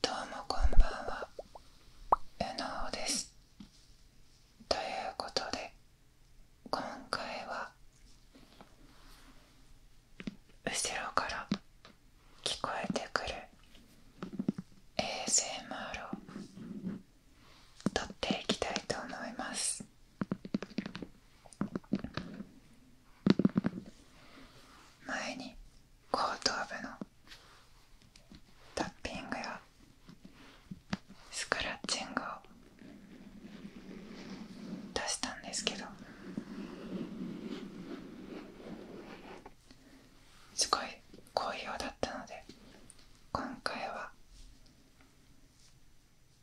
どうもこんばんはうのおですということで今回は後ろから聞こえてくる衛 s m r を撮っていきたいと思います前に後頭部のタッピングやスクラッチングを出したんですけどすごい好評だったので今回は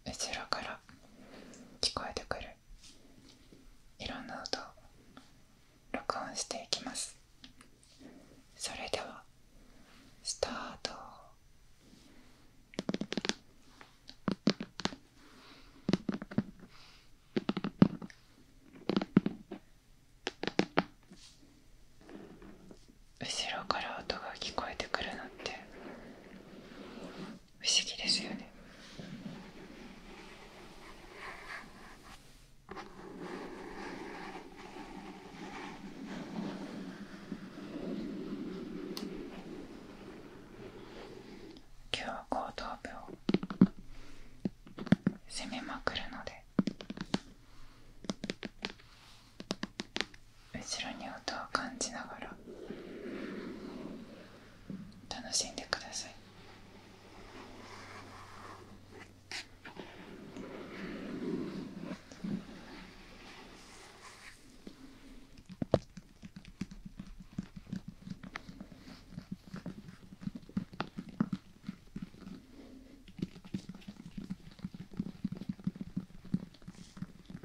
後ろから聞こえてくるいろんな音を録音していきますそれではスタート後ろから音が聞こえてくるなんて不思議ですよね。今日は後頭部を攻めまくるので後ろに音を感じながら楽しんでください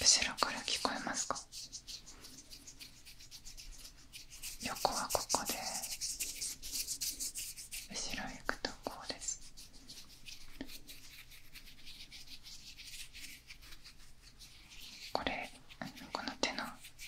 後ろから聞こえますか横はここで後ろ行くとこうですこれこの手の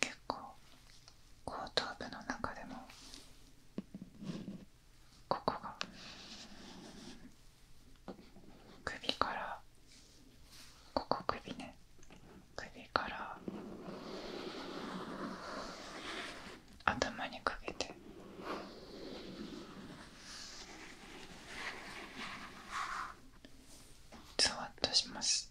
結構後頭部の中でもここが首からここ首ね首から頭にかけて。ズワッとします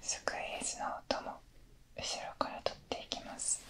すくい水の音も後ろからとっていきます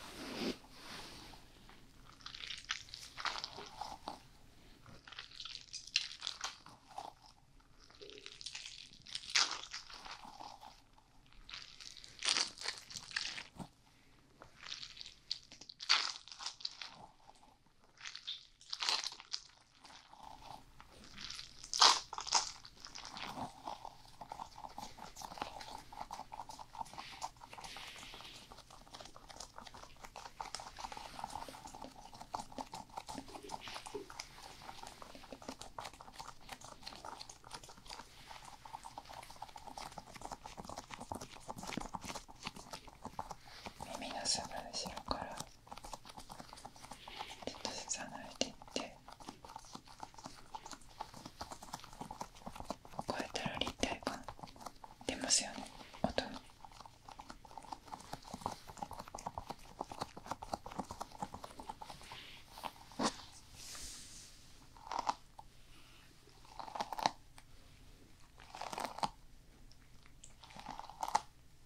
耳のすぐ後ろからちょっとずつ離れていってこうやったら立体感出ますよね音に。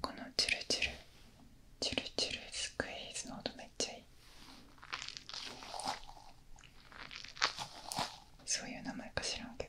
このチュルチュルチュルチュルスクイーズの音めっちゃいいそういう名前か知らんけど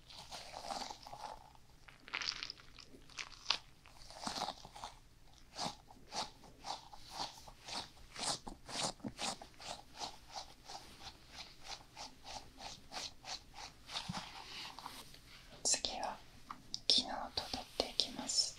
次は昨日と取っていきます。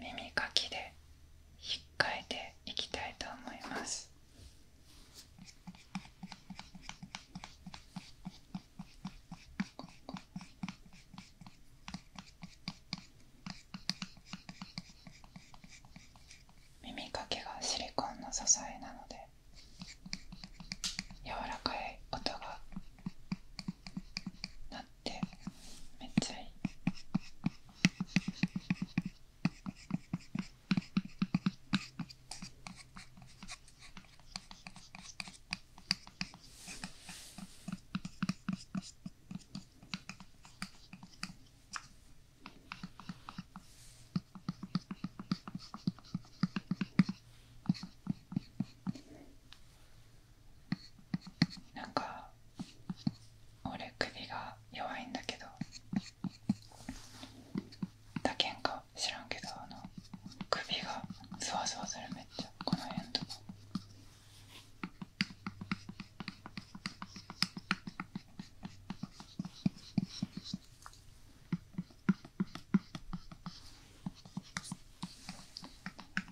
耳かきで引っかいていきたいと思います。耳かきがシリコンの支えなので柔らかい音が鳴っってめっちゃいいなんか俺首が弱いんだけどだけんか知らんけどあの首がそわそわするめっちゃこの辺とか。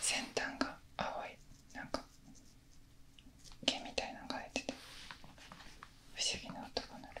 先端が青いなんか毛みたいなのが生えてて不思議な音が鳴る。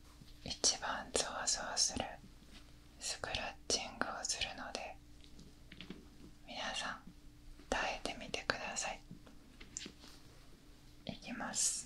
一番想像するスクラッチングをするので皆さん耐えてみてくださいいきます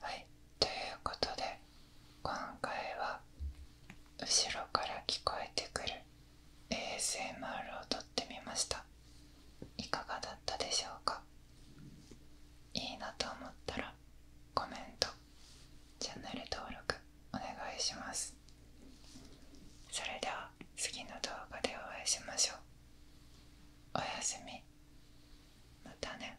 はい、ということで今回は後ろから聞こえてくる ASMR を撮ってみましたいかがだったでしょうかいいなと思ったらコメントチャンネル登録お願いしますそれでは次の動画でお会いしましょうおやすみまたね